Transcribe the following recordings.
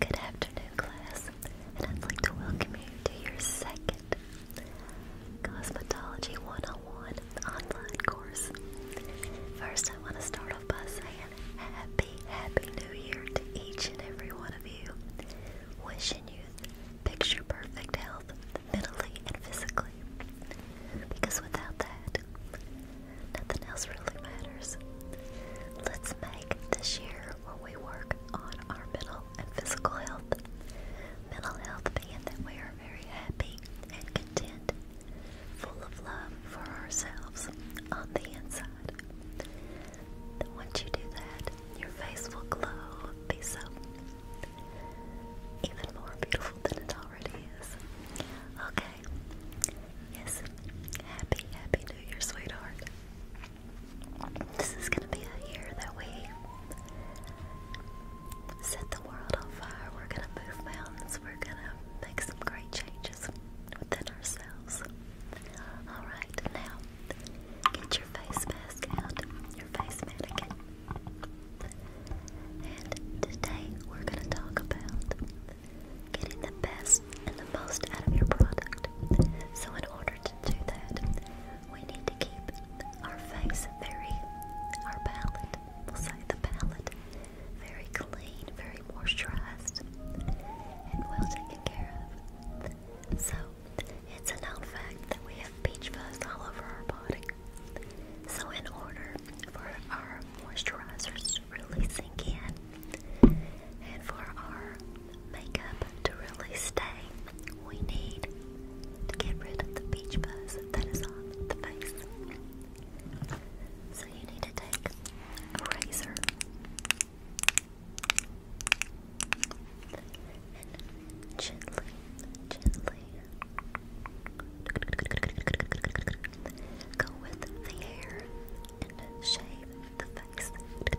Good afternoon, class, and I'd like to welcome you to your second Cosmetology 101 online course. First, I want to start off by saying Happy, Happy New Year to each and every one of you. Wishing you picture perfect health mentally and physically. Because without that, nothing else really matters. Let's make this year when we work on our mental and physical health. Mental health being that we are very happy and content, full of love for ourselves on the inside. Once you do that, your face will glow, be so even more beautiful than it already is. Okay. Yes. Happy, happy New Year, sweetheart. This is gonna be a year that we set the world on fire. We're gonna move mountains. We're gonna make some great changes within ourselves. Alright, now get your face mask out, your face mannequin. And today we're gonna talk about getting the best and the most out of your product. So, in order to do that, we need to keep our face very, our palate, we'll say the palate, very clean, very moisturized, and well taken care of. So, it's a known fact that we have beach fuzz all over our body. So, in order for our moisturizers to really sink in, and for our makeup to really stay, we need to get rid of the beach buzz that is on the face. So you need to take a razor and gently, gently go with the hair and shave the thanks. and then below the lip,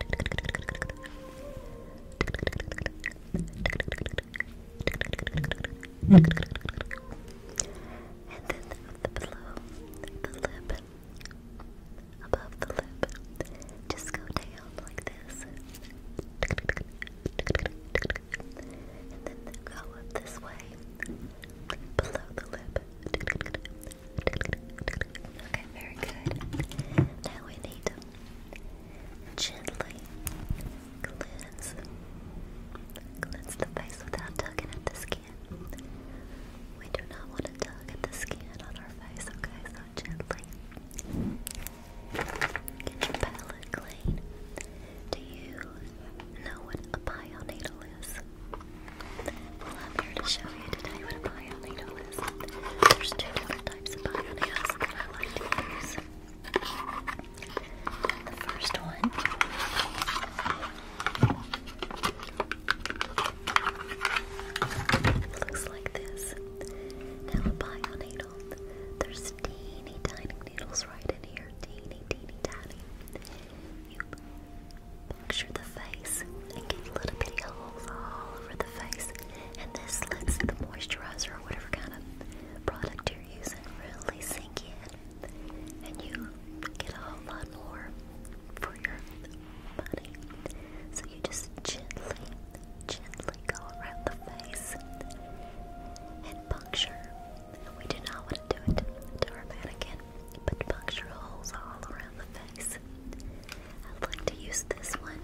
above the lip, just go down like this. And then go up this way, below the lip, Okay, very good. Now we need to gently cleanse, cleanse the face without tugging at the skin. We do not want to tug at the skin on our face, okay? So gently get your palette clean. Do you know what a pio needle I'm here to show you today what a bio is. There's two different types of bio needles that I like to use. The first one looks like this. Now a bio There's teeny tiny needles right in here. Teeny teeny tiny. Picture the face and get little bitty holes all over the face. And this lets the moisturizer or whatever kind of product you're using really sink in. And you get a whole lot more for your money. So you just gently, gently go around the face and puncture. And we do not want to do it to our mannequin, but puncture holes all around the face. I'd like to use this one.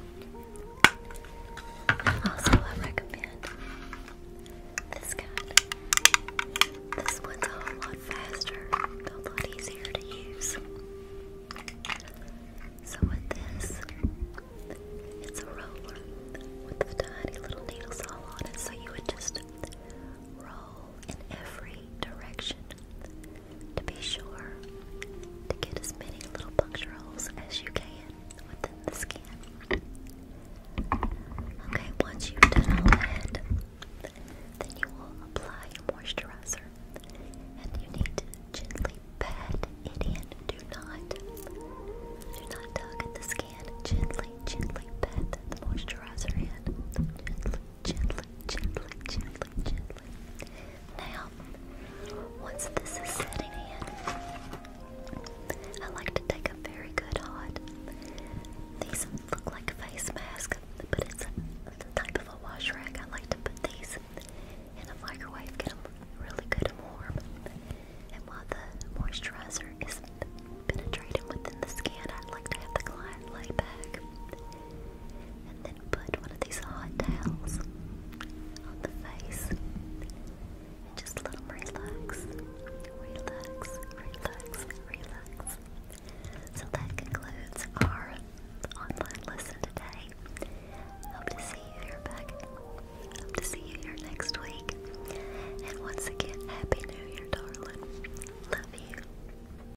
Also, I recommend this guy. This one's a lot faster, a lot easier to use. So, with this, it's a roller with tiny little needles all on it, so you would just roll in every direction to be sure to get as many little puncture holes as you can within the skin. Okay, once you've done all that, then you will apply your moisturizer and you need to gently pat it in. Do not, do not tug at the skin. Gently, gently pat the moisturizer in. Gently, gently, gently, gently, gently. Now, once this is setting in, I like to take a very good hot. These look like a face mask, but it's the type of a wash rag. I like to put these in a microwave, get really good and warm. And while the moisturizer is penetrating within the skin, I like to have the client lay back and then put one of these hot towels on the face and just let them relax, relax, relax, relax. So that concludes our online lesson today. Hope to see you here back. Hope to see you here next week. And once again, Happy New Year, darling. Love you.